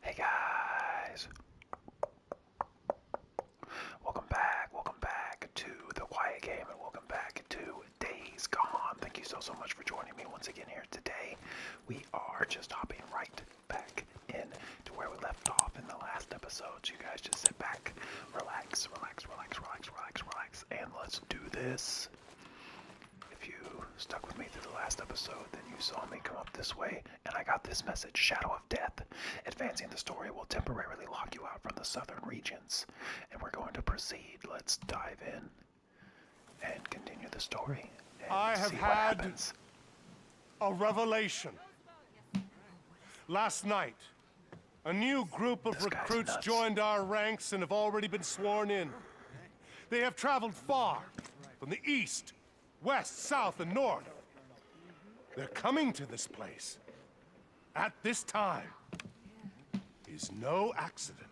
Hey guys! Welcome back, welcome back to The Quiet Game, and welcome back to Days Gone. Thank you so, so much for joining me once again here today. We are just hopping right back in to where we left off in the last episode. So you guys just sit back, relax, relax, relax, relax, relax, relax, and let's do this. If you stuck with me through the last episode, then you saw me come up this way, and I got this message Shadow of Death. Advancing the story will temporarily lock you out from the southern regions. And we're going to proceed. Let's dive in and continue the story. I have had a revelation. Last night, a new group of recruits joined our ranks and have already been sworn in. They have traveled far, from the east, west, south, and north. They're coming to this place. At this time, is no accident.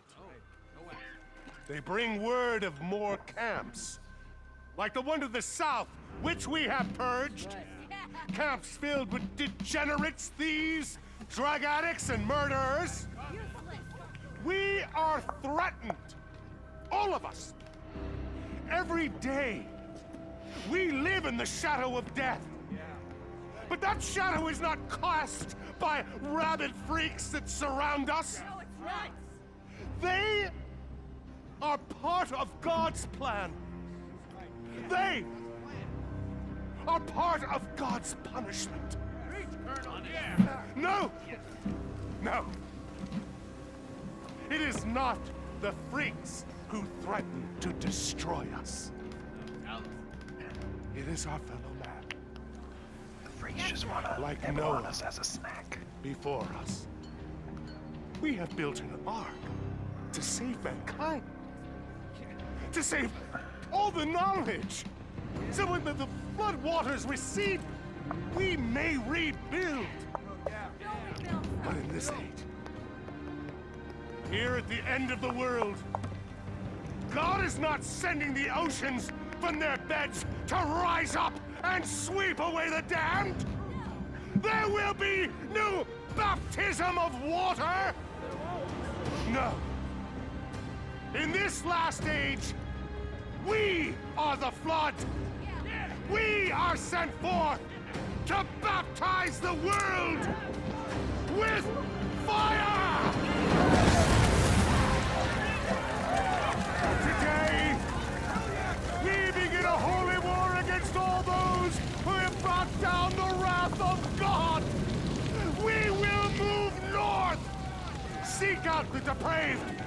They bring word of more camps, like the one to the south, which we have purged. Camps filled with degenerates, thieves, drug addicts, and murderers. We are threatened. All of us. Every day. We live in the shadow of death. But that shadow is not cast by rabid freaks that surround us. No, it's not. They are part of God's plan. They are part of God's punishment. No, no. It is not the freaks who threaten to destroy us. It is our fellow man. The freaks just want to like nibble us as a snack. Before us, we have built an ark to save mankind, to save all the knowledge so when the flood waters recede, we may rebuild. But in this age, here at the end of the world, God is not sending the oceans from their beds to rise up and sweep away the damned. There will be no baptism of water. No. In this last age, we we are the flood! We are sent forth to baptize the world with fire! Today, we begin a holy war against all those who have brought down the wrath of God! We will move north! Seek out the depraved!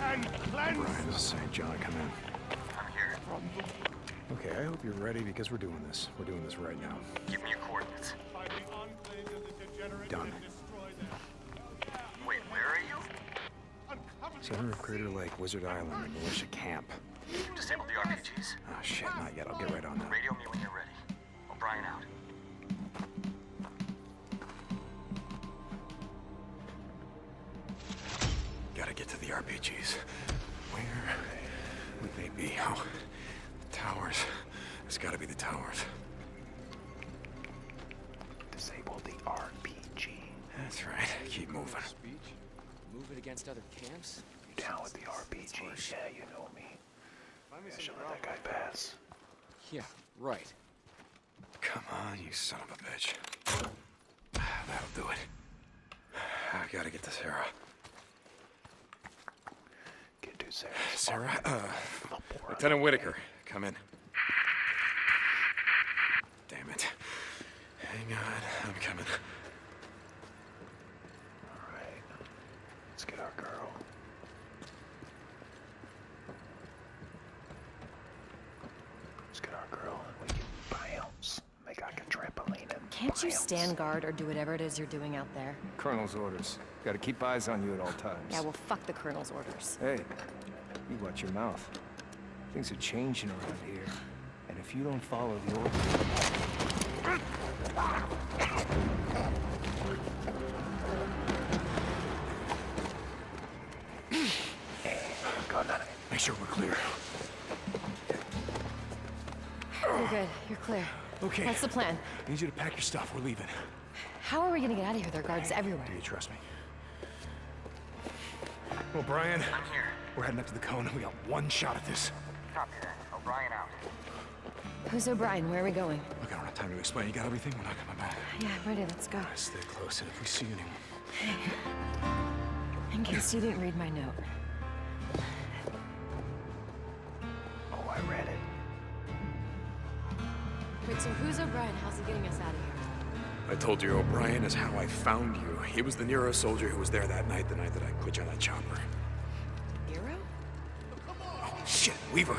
and cleanse. Right, this is St. John, come in. Okay, I hope you're ready because we're doing this. We're doing this right now. Give me your coordinates. Done. Wait, where are you? Center of Crater Lake, Wizard Island, and militia camp. You've disabled the RPGs. Ah, oh, shit, not yet. I'll get right on that. Radio me when you're ready. O'Brien out. Gotta get to the RPGs. Where would they be? Oh, the towers. It's gotta be the towers. Disable the RPG. That's right. Keep moving. Move it against other camps? down with the RPG? Yeah, you know me. I should that guy pass. Yeah, right. Come on, you son of a bitch. That'll do it. I gotta get this Sarah. Get to Sarah. Sarah, uh, Lieutenant Whitaker, come in. Damn it. Hang on, I'm coming. Alright. Let's get our girl can not you stand guard or do whatever it is you're doing out there? Colonel's orders. Gotta keep eyes on you at all times. Yeah, well, fuck the Colonel's orders. Hey, you watch your mouth. Things are changing around here. And if you don't follow the orders... Make sure we're clear. You're good. You're clear. Okay. That's the plan? I need you to pack your stuff. We're leaving. How are we gonna get out of here? There are guards everywhere. Do you trust me? Well, Brian. I'm here. We're heading up to the cone. We got one shot at this. Copy that. O'Brien out. Who's O'Brien? Where are we going? going? Look, I don't have time to explain. You got everything? We're not coming back. Yeah, I'm ready. Let's go. stay close, and if we see anyone... In case you didn't read my note. Oh, I read it. Wait, so who's O'Brien? How's he getting us out of here? I told you, O'Brien is how I found you. He was the Nero soldier who was there that night, the night that I quit you on that chopper. Nero? Oh, shit, Weaver.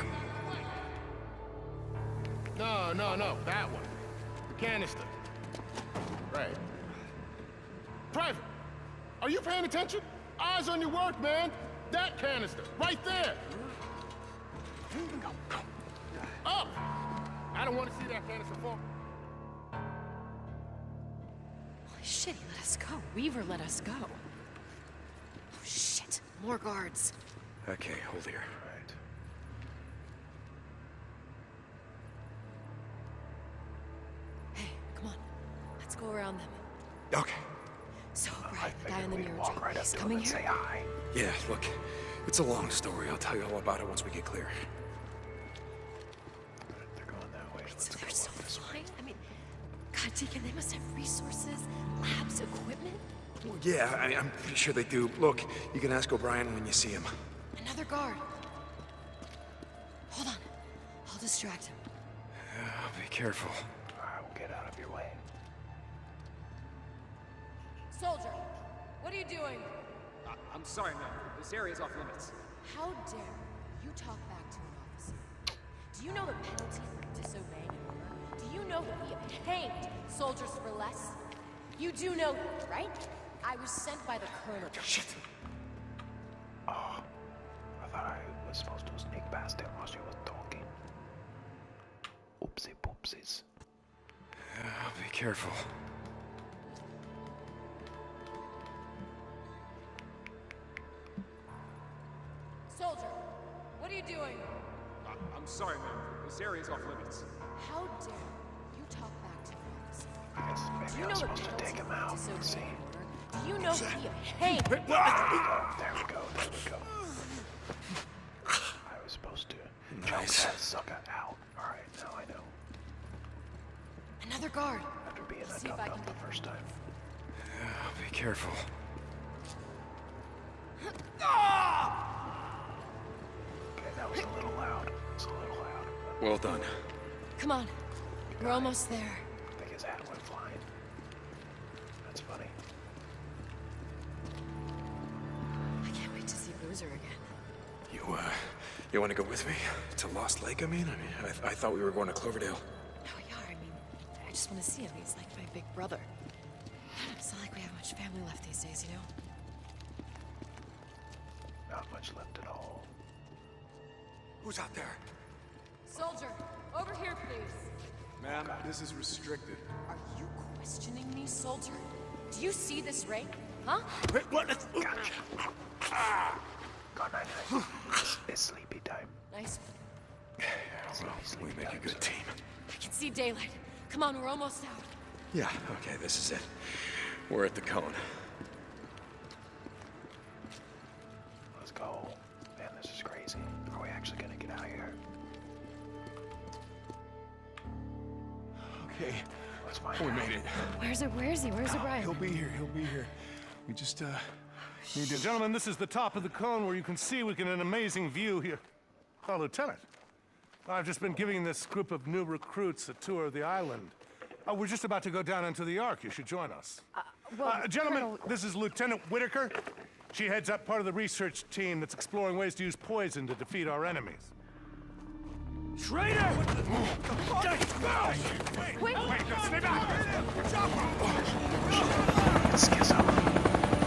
No, no, no, that one. The canister. Right. Private, are you paying attention? Eyes on your work, man. That canister, right there. Up! I don't want to see that canister fall. Holy shit, he let us go. Weaver let us go. Oh, shit. More guards. Okay, hold here. Hey, come on. Let's go around them. Okay. So, right, the guy in the mirror walk right up coming here? say hi. Yeah, look, it's a long story. I'll tell you all about it once we get clear. They're going that way. let so go they're so this I mean, God, Deacon, they must have resources, labs, equipment yeah, I, am pretty sure they do. Look, you can ask O'Brien when you see him. Another guard. Hold on. I'll distract him. be careful. I will get out of your way. Soldier, what are you doing? Uh, I'm sorry, ma'am. This area is off limits. How dare you talk back to an officer? Do you know the penalty for disobeying Do you know that we have hanged Soldiers for less. You do know, right? I was sent by the colonel. Oh, shit! Oh, I thought I was supposed to sneak past him while she was talking. Oopsie poopsies. Yeah, be careful. Soldier, what are you doing? I am sorry, ma'am. This area is off limits. How dare you talk back to the Do you know supposed to take him out? See? Do you know he hey? there we go. There we go. I was supposed to nice. choke that sucker out. All right, now I know. Another guard. After being a dumb the first time. Yeah, be careful that was a little loud. Well done. Come on. Good We're almost there. I think his hat went flying. That's funny. I can't wait to see Bruiser again. You, uh, you want to go with me? To Lost Lake, I mean? I thought we were going to Cloverdale. No, we I mean, I just want to see him. He's like my big brother. It's not like we have much family left these days, you know? Not much left at all. Who's out there? Soldier, over here, please. Ma'am, this is restricted. Are you questioning me, soldier? Do you see this rake? Huh? Gotcha. it's sleepy time. Nice. well, we make a good team. I can see daylight. Come on, we're almost out. Yeah, okay, this is it. We're at the cone. Let's go. Man, this is crazy. Are we actually gonna get out of here? Okay. Let's find oh, We made it. Where's it? Where's he? Where's O'Brien? Ah, he'll be here. He'll be here. We just, uh... Need to... Gentlemen, this is the top of the cone where you can see we get an amazing view here. Oh, Lieutenant, I've just been giving this group of new recruits a tour of the island. Uh, we're just about to go down into the Ark. You should join us. Uh, well, uh, gentlemen, this is Lieutenant Whitaker. She heads up part of the research team that's exploring ways to use poison to defeat our enemies. Traitor! What the, what the fuck? Wait! Wait, wait, stay back! Excuse me.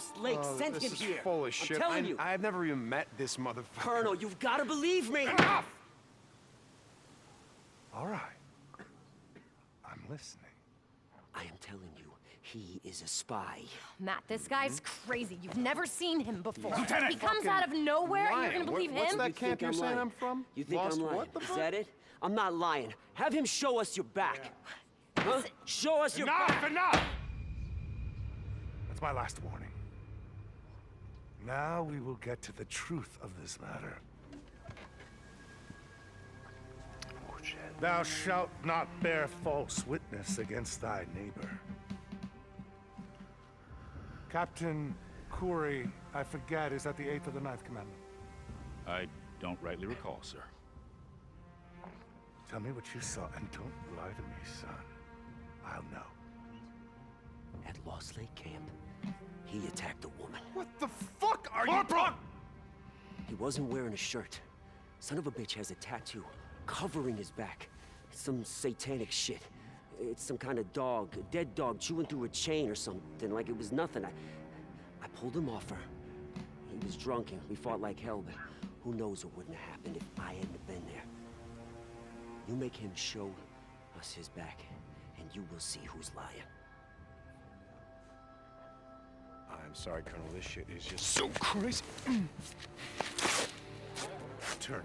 Lost Lake oh, sent him here. full of shit. I'm telling you. I've never even met this motherfucker. Colonel, you've got to believe me. Enough! All right. I'm listening. I am telling you, he is a spy. Matt, this guy's hmm? crazy. You've never seen him before. Lieutenant, he comes out of nowhere and you're gonna believe what, what's him? that camp you're I'm saying lying. I'm from? You think I'm lying? What the Is that it? I'm not lying. Have him show us your back. Huh? Show us your- Enough! Enough! That's my last warning. Now we will get to the truth of this matter. Thou shalt not bear false witness against thy neighbor. Captain Corey, I forget, is that the eighth or the ninth commandment? I don't rightly recall, sir. Tell me what you saw and don't lie to me, son. I'll know. At Lost Lake Camp, he attacked the woman. What the fuck are you? you- He wasn't wearing a shirt. Son of a bitch has a tattoo covering his back. Some satanic shit. It's some kind of dog, a dead dog chewing through a chain or something, like it was nothing. I, I pulled him off her. He was drunk and we fought like hell, but who knows what wouldn't have happened if I hadn't been there. You make him show us his back, and you will see who's lying. I'm sorry, Colonel. This shit is just so crazy. Turner.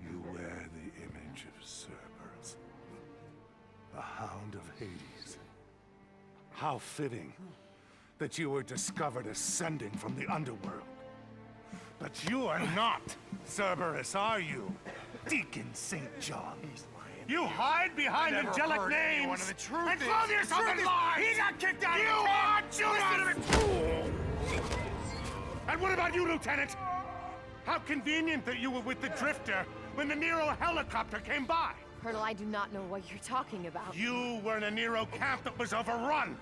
You wear the image of Cerberus, the Hound of Hades. How fitting that you were discovered ascending from the underworld. But you are not Cerberus, are you? Deacon St. John. You hide behind angelic names and clothe yourself in lies! He got kicked out you of the You are Judas! Fool! And what about you, Lieutenant? How convenient that you were with the Drifter when the Nero helicopter came by. Colonel, I do not know what you're talking about. You were in a Nero camp that was overrun!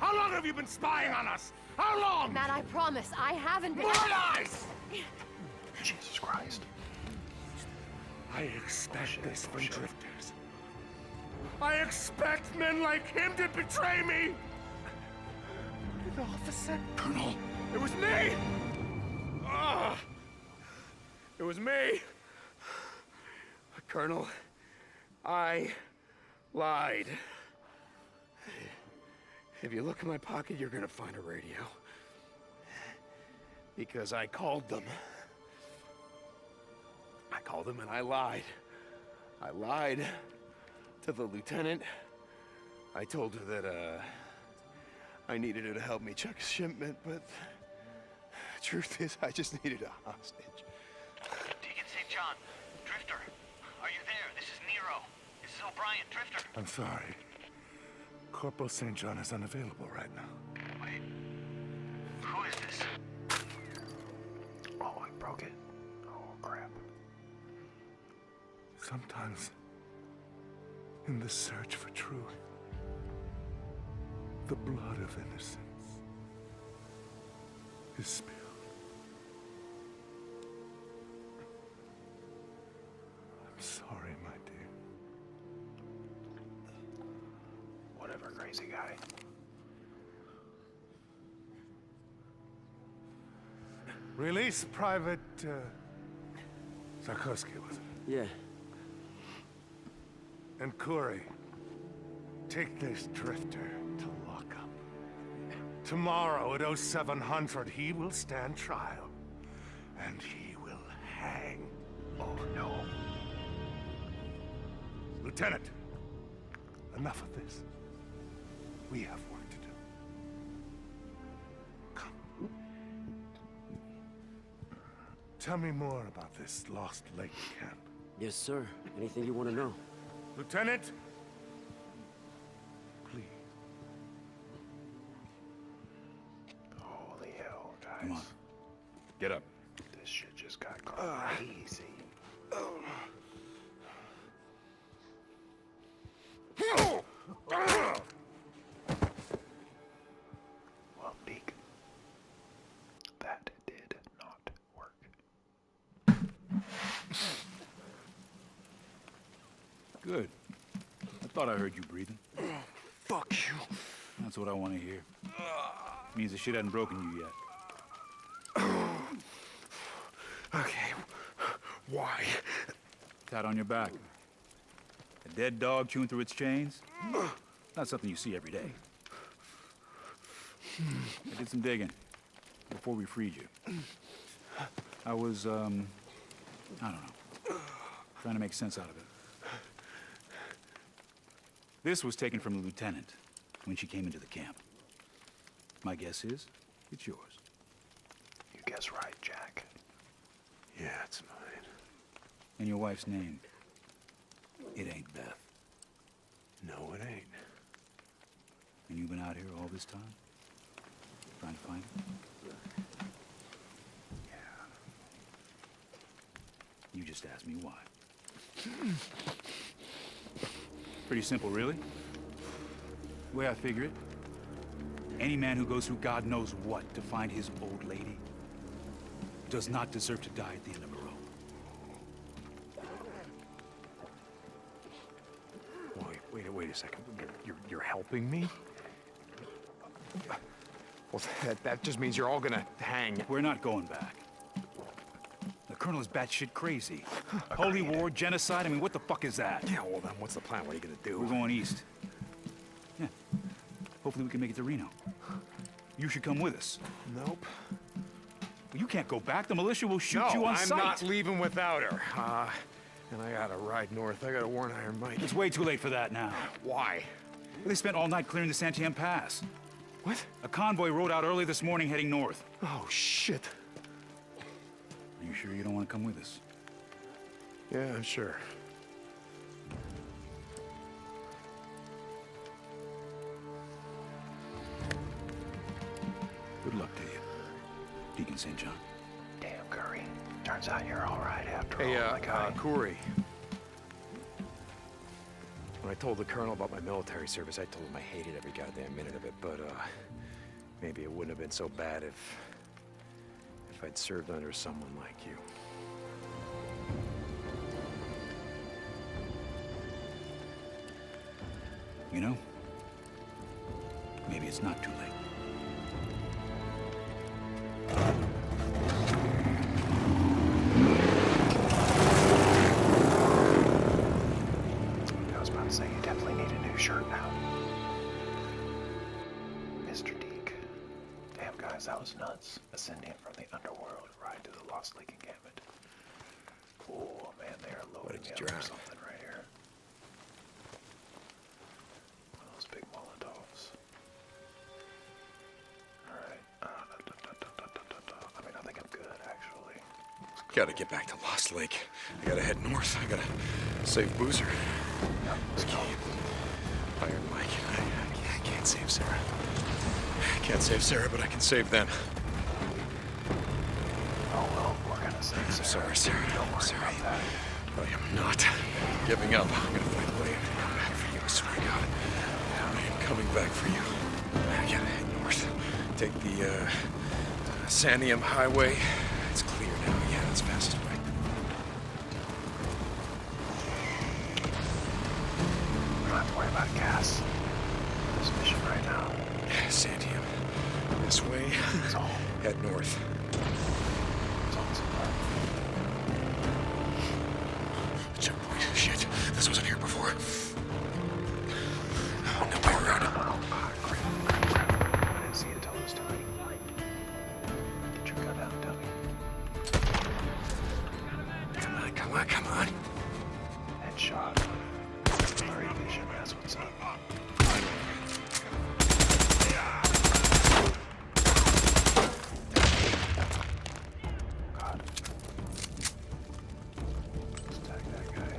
How long have you been spying on us? How long? Matt, I promise, I haven't been- More lies! Jesus Christ. I expect this from drifters. I expect men like him to betray me! An officer? Colonel! It was me! Ugh. Ah! It was me! Colonel, I lied. If you look in my pocket, you're gonna find a radio. Because I called them. I called them and I lied. I lied to the lieutenant. I told her that, uh, I needed her to help me check a shipment, but truth is, I just needed a hostage. Deacon St. John, Drifter, are you there? This is Nero. This is O'Brien, Drifter. I'm sorry. Corporal St. John is unavailable right now. Wait. Who is this? Oh, I broke it. Oh, crap. Sometimes, in the search for truth, the blood of innocence is spilled. I'm sorry, my dear. Whatever, crazy guy. Release Private. Uh, Sarkovsky was it? Yeah. And Corey, take this drifter to lockup. Tomorrow at 0700, he will stand trial. And he will hang. Oh, no. Lieutenant, enough of this. We have work to do. Come. Tell me more about this Lost Lake camp. Yes, sir. Anything you want to know? Lieutenant! Please. Holy hell, guys. Come on. Get up. This shit just got ah. crazy. Oh. Ah. Well, Meek, that did not work. Good. I thought I heard you breathing. Fuck you. That's what I want to hear. Means the shit has not broken you yet. okay. Why? Tat on your back. A dead dog chewing through its chains? Not something you see every day. I did some digging before we freed you. I was, um, I don't know, trying to make sense out of it. This was taken from the lieutenant when she came into the camp. My guess is it's yours. You guess right, Jack. Yeah, it's mine. And your wife's name? It ain't Beth. No, it ain't. And you've been out here all this time? Trying to find it? Yeah. You just asked me why. Pretty simple, really. The way I figure it, any man who goes through God knows what to find his old lady does not deserve to die at the end of a rope. Wait, wait, wait a second. You're, are helping me? Well, that, that just means you're all gonna hang. We're not going back. The colonel is batshit crazy. Holy war, genocide, I mean, what the fuck is that? Yeah, well then, what's the plan? What are you gonna do? We're going east. Hopefully we can make it to Reno. You should come with us. Nope. you can't go back. The militia will shoot you on I'm sight. I'm not leaving without her. Uh, and I gotta ride north. I gotta warn Iron Mike. It's way too late for that now. Why? they spent all night clearing the Santiam Pass. What? A convoy rode out early this morning heading north. Oh, shit. Are you sure you don't want to come with us? Yeah, I'm sure. Good luck to you, Deacon St. John. Damn, Curry. Turns out you're all right after all, uh, my guy. Uh, Corey. When I told the colonel about my military service, I told him I hated every goddamn minute of it, but, uh, maybe it wouldn't have been so bad if if I'd served under someone like you. You know, maybe it's not too late. definitely need a new shirt now. Mr. Deek. Damn, guys, that was nuts. Ascending from the underworld, right to the Lost Lake encampment. Oh, man, they are loading me up for something right here. One of those big Molotovs. Alright. Uh, I mean, I think I'm good, actually. Gotta get back to Lost Lake. I gotta head north. I gotta save Boozer. Yep, I, can't save Sarah. I can't save Sarah, but I can save them. Oh, well, we're gonna save I'm Sarah. I'm sorry, Sarah. Don't sorry. about that. I am not giving up. I'm gonna find a way to come back for you, I I am coming back for you. I gotta head north. Take the, uh, Sanium Highway. It's clear now. Yeah, that's fastest way. We don't have to worry about gas. This mission right now. Santiam. This way. That's Head north. Shit. This wasn't here before. Oh, no, way around it. Oh, crap, I didn't see it until it was Come on, come on, come on. Headshot. Blurry vision, that's what's up. God. tag that guy.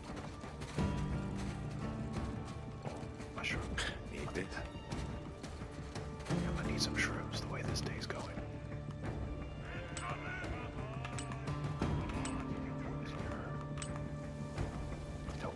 Mushroom. Need this. i to need some shrooms the way this day's going. Nope.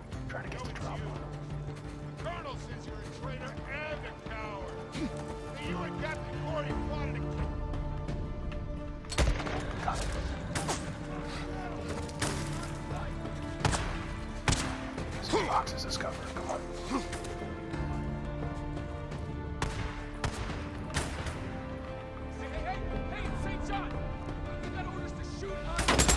Trying to get the drop The colonel says you're a traitor and a coward. you and Captain Cordy plotted to kill... Got it. Use boxes as cover. Come on. Hey, hey, hey, St. John! You orders to shoot on sight!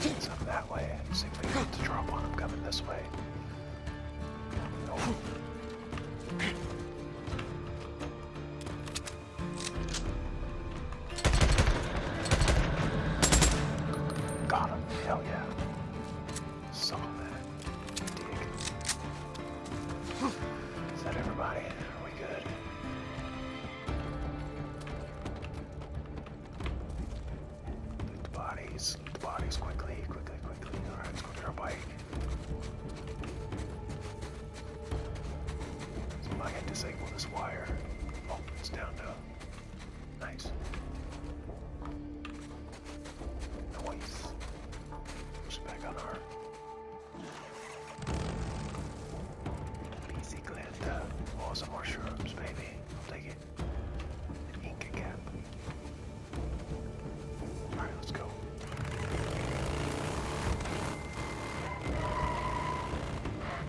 It's up that way. See if we can get the drop on them coming this way. Nope. Got him. Hell yeah. Saw that. Dig. Is that everybody? Are we good? Loot the bodies. Loot the bodies quickly, quickly, quickly. Alright, let's go get our bike. So I had disabled this wire. Oh, it's down now. Nice. Nice. back on her. Easy Glenda. Oh, some baby. take it. Inca cap. Alright, let's go.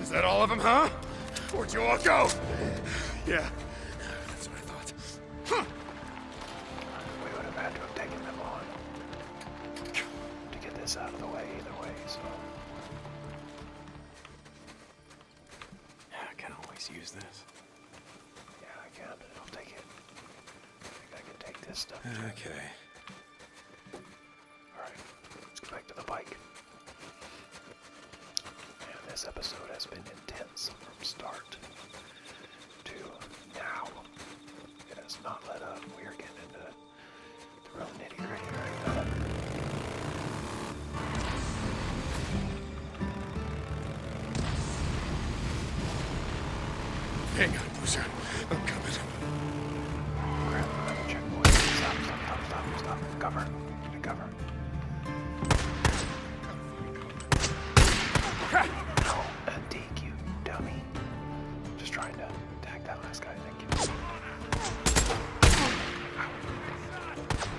Is that all of them, huh? Where'd you all go? Yeah. That's what I thought. We would have had to have taken them on. To get this out of the way either way, I can always use this. Yeah, I can. I'll take it. I think I can take this stuff. Okay. Alright, let's go back to the bike. this episode has been intense from start to now. It has not let up. We are getting into the real nitty gritty right now. Hang on, Bruiser. I'm coming. checkpoint. Stop, stop, stop, stop, Cover. Get cover. Oh, a DQ, dummy. Just trying to tag that last guy. Thank you.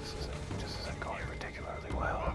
This isn't, this isn't going particularly well.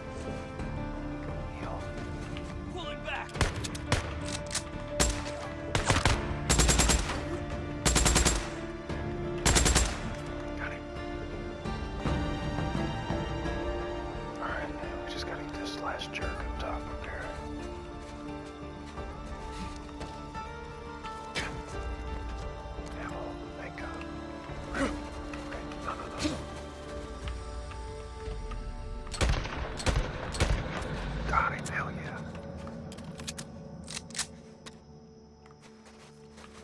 Got All right, we just this last jerk God. top of those. God, I tell you.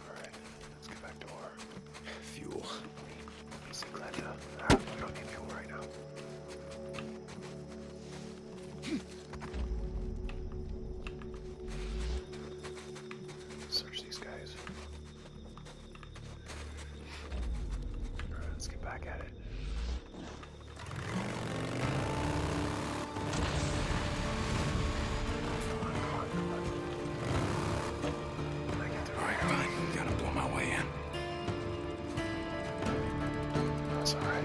All right, let's get back to our fuel. Easy, Glenda. Ah, we don't need fuel right now. Search these guys. Alright, let's get back at it. Alright, fine. Gotta blow my way in. That's alright.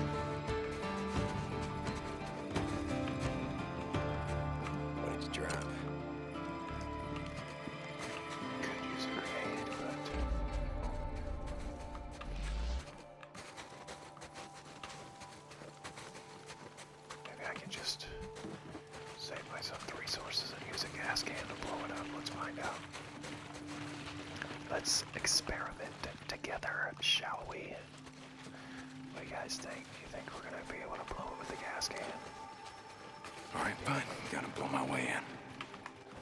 What did you drive? maybe I can just save myself the resources and use a gas can to blow it up. Let's find out. Let's experiment together, shall we? What do you guys think? You think we're gonna be able to blow it with the gas can? Alright, fine. Gotta blow my way in.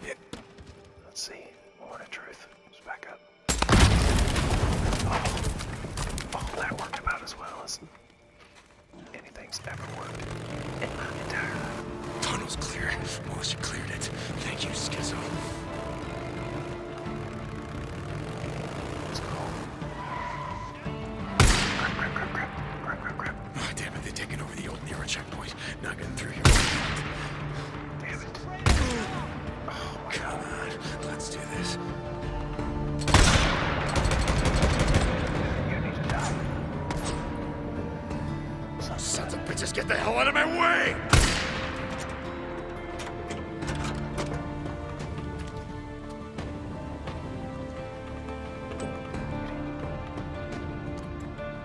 Yep. Let's see. Moment of truth. let back up. Oh. that worked about as well as anything's ever worked in my entire Tunnel's clear. Morrison cleared it. Thank you, Schizo. Ah, damn it, they've taken over the old Nero checkpoint point. Not getting through here. Oh, of bitches, get the hell out of my way!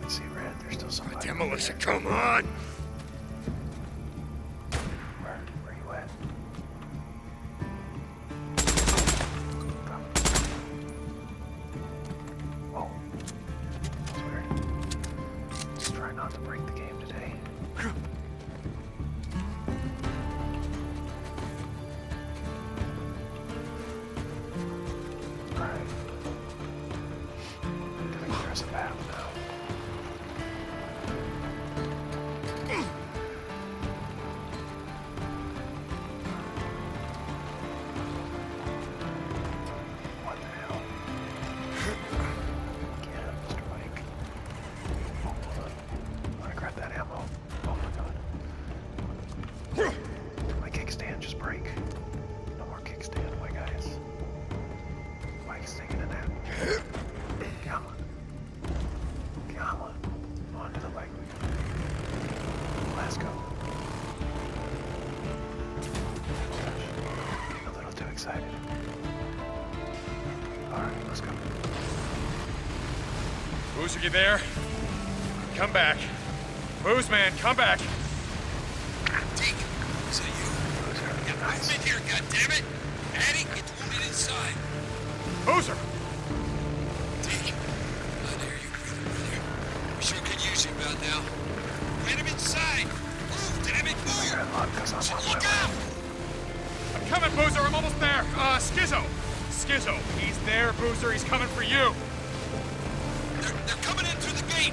let see, Red, there's still somebody. God come on! Where, where you at? Oh. That's weird. Let's try not to break the game today. Alright. I think there's a map now. What the hell? Get up, Mr. Mike. Oh, hold on. I'm gonna grab that ammo. Oh my god. My kickstand just break. No more kickstand, my guys. Mike's taking a nap. Come on. Come on. On the lake. Let's go. a little too excited. Alright, let's go. Boozer, get there. Come back. Boozman, come back. Take it. Is that you? Yeah, I've here, goddammit! Addy, get wounded inside. Hoser! Deke, I dare oh, you breathe, We sure could use you about now. Get him inside! Move, dammit, move! I got because I'm on I'm coming, Boozer, I'm almost there! Uh, Schizo! Schizo, he's there, Boozer, he's coming for you! they're coming in through the gate!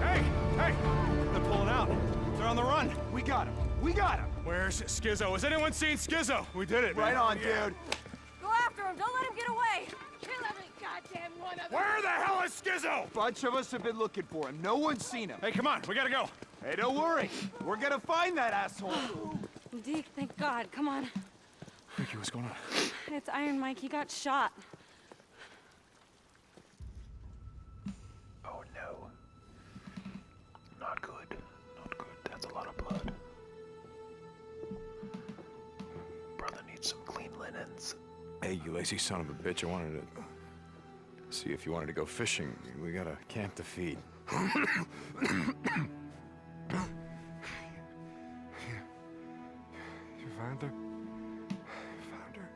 Hey! Hey! They're pulling out. They're on the run. We got him. We got him. Where's Schizo? Has anyone seen Schizo? We did it, Right on, dude. Go after him. Don't let him get away. Kill every goddamn one of them. Where the hell is Schizo? Bunch of us have been looking for him. No one's seen him. Hey, come on. We gotta go. Hey, don't worry. We're gonna find that asshole. Deke, thank God. Come on. Ricky, what's going on? It's Iron Mike. He got shot. Oh no. Not good. Not good. That's a lot of blood. Brother needs some clean linens. Hey, you lazy son of a bitch. I wanted to see if you wanted to go fishing. We got a camp to feed. You found her? You found her?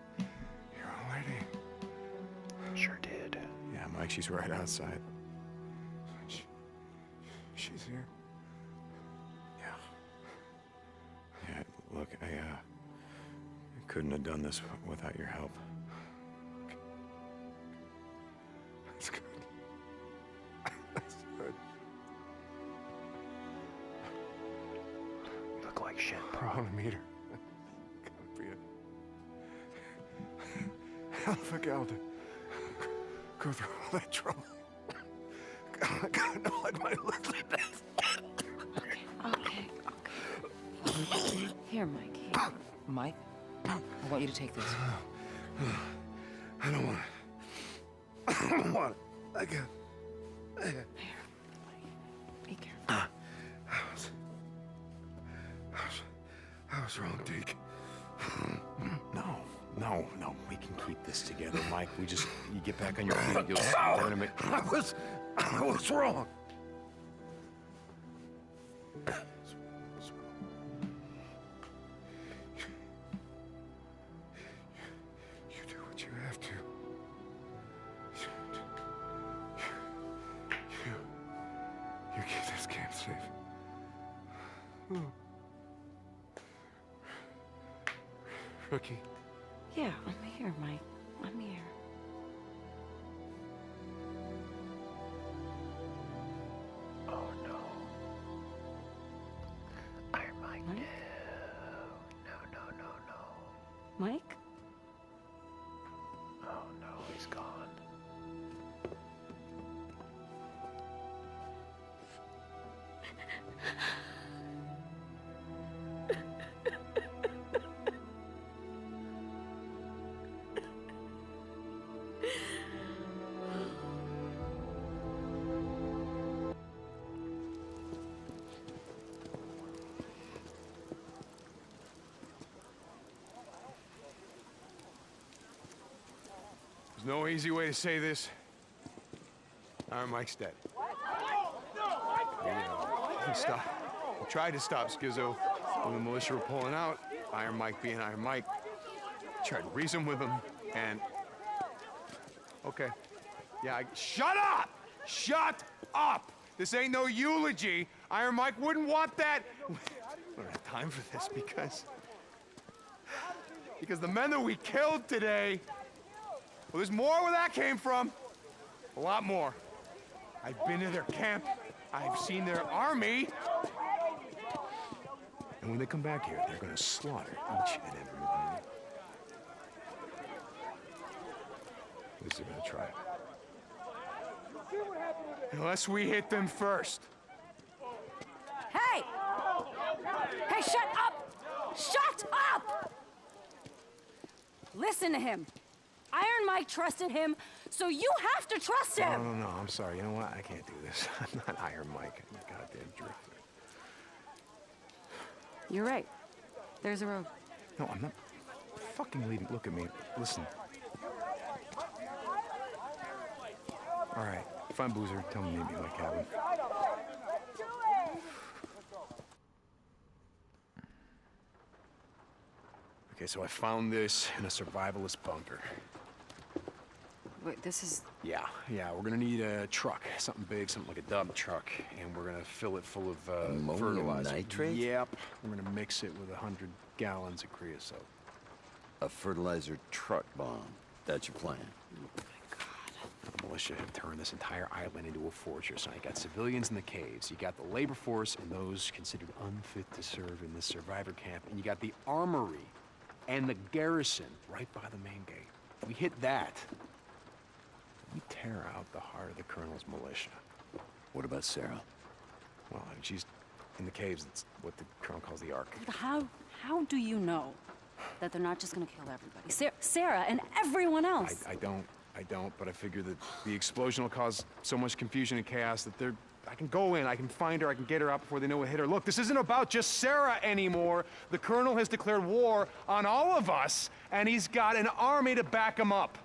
Your own lady? Sure did. Yeah, Mike, she's right outside. she's here? Yeah. Yeah, look, uh, I, couldn't have done this without your help. That's good. That's good. You look like shit, bro. On a meter. God, Bria. How the fuck i go through all that trouble? God, God no, I might look like this. Okay, okay. Here, Mike. Mike, I want you to take this. I don't want I don't I Be careful. I ah. was, I was, wrong, Deke. No, no, no. We can keep this together, Mike. We just, you get back on your feet. You'll tournament. I was, I was wrong. You do what you have to. You, you keep this camp safe. Rookie. Yeah, I'm here, Mike. I'm here. Oh no. Iron Mike, no. No, no, no, no. Mike? Oh no, he's gone. There's no easy way to say this. Iron Mike's dead. Stop. We tried to stop Schizo when the militia were pulling out. Iron Mike being Iron Mike. Tried to reason with him, and Okay. Yeah, shut up! Shut up! This ain't no eulogy. Iron Mike wouldn't want that. We don't have time for this because... Because the men that we killed today... Well, there's more where that came from. A lot more. I've been to their camp. I've seen their army. And when they come back here, they're gonna slaughter each and every one at they're gonna try Unless we hit them first. Hey! Hey, shut up! Shut up! Listen to him. Iron Mike trusted him, so you have to trust him! No, no, no, I'm sorry. You know what? I can't do this. I'm not Iron Mike. I'm a goddamn drifter. You're right. There's a road. No, I'm not fucking leaving. Look at me. Listen. All right. If Boozer, tell me maybe like Calvin. Okay, so I found this in a survivalist bunker. Wait, this is... Yeah, yeah, we're gonna need a truck. Something big, something like a dump truck. And we're gonna fill it full of uh, fertilizer. nitrate? Yep. We're going to mix it with 100 gallons of creosote. A fertilizer truck bomb. That's your plan. Oh my God. The militia have turned this entire island into a fortress. Now you got civilians in the caves, you got the labor force and those considered unfit to serve in the survivor camp, and you got the armory and the garrison right by the main gate. we hit that, we tear out the heart of the Colonel's militia. What about Sarah? Well, she's in the caves. It's what the Colonel calls the Ark. How, how do you know that they're not just gonna kill everybody? Sarah and everyone else! I, don't, I don't, but I figure that the explosion will cause so much confusion and chaos that I can go in, I can find her, I can get her out before they know what hit her. Look, this isn't about just Sarah anymore. The Colonel has declared war on all of us and he's got an army to back him up.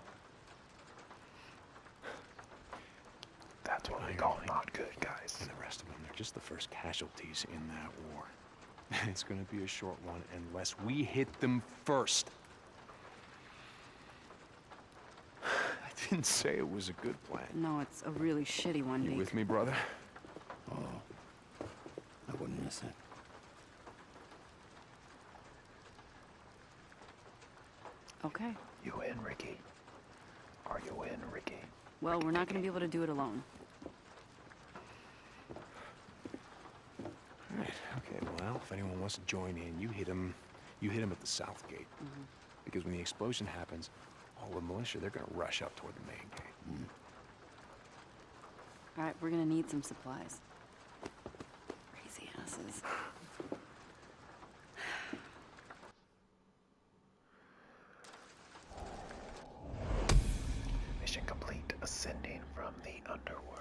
That's what we call not good, guys. the rest of them, they're just the first casualties in that war. it's gonna be a short one unless we hit them first. I didn't say it was a good plan. No, it's a really shitty one, You with me, brother? Oh, I wouldn't miss it. Okay. You in, Ricky? Are you in, Ricky? Well, we're not going to be able to do it alone. All right. Okay. Well, if anyone wants to join in, you hit them. You hit them at the south gate, mm-hmm. because when the explosion happens, all the militia they're going to rush up toward the main gate. All right. We're going to need some supplies. Mission complete. Ascending from the underworld.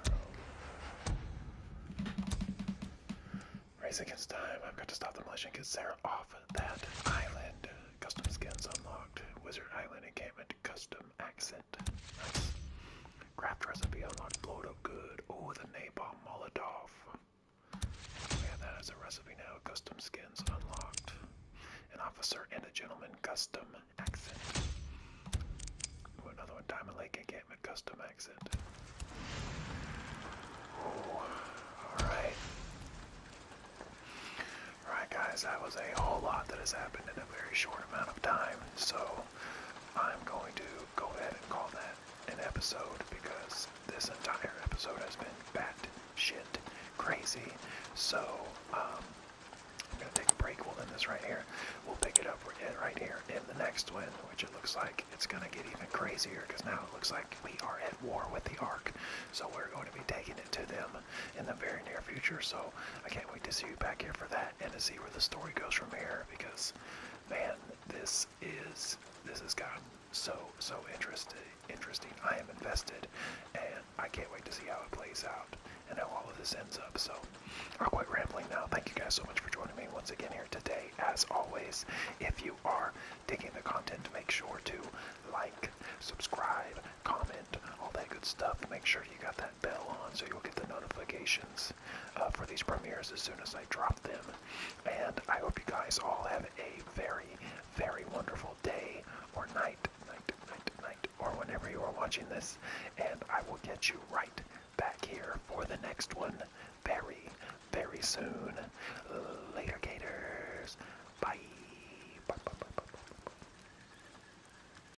Race against time. I've got to stop the militia and get Sarah off that island. Custom skins unlocked. Wizard Island encampment. Custom accent. Nice. Craft recipe unlocked. Blow it up good. Oh, the napalm molotov. We have that as a recipe now. Custom skins unlocked. An officer and a gentleman. Custom accent. another one. Diamond Lake encampment. Custom accent. alright. Alright, guys, that was a whole lot that has happened in a very short amount of time. So I'm going to go ahead and call that an episode because this entire episode has been bat shit crazy. So um, I'm going to take a break. We'll end this right here. We'll pick it up right here in the next one, which it looks like it's going to get even crazier because now it looks like we are at war with the Ark. So we're going to be taking it to them in the very near future. So I can't wait to see you back here for that and to see where the story goes from here because man this is this has gotten so so interesting interesting i am invested and i can't wait to see how it plays out and how all of this ends up so i'm quite rambling now thank you guys so much for joining me once again here today as always if you are digging the content make sure to like subscribe comment all that good stuff make sure you got that bell on so you'll get the notifications uh, for these premieres as soon as I drop them. And I hope you guys all have a very, very wonderful day or night, or whenever you are watching this. And I will get you right back here for the next one very, very soon. Later, Gators. bye, bye.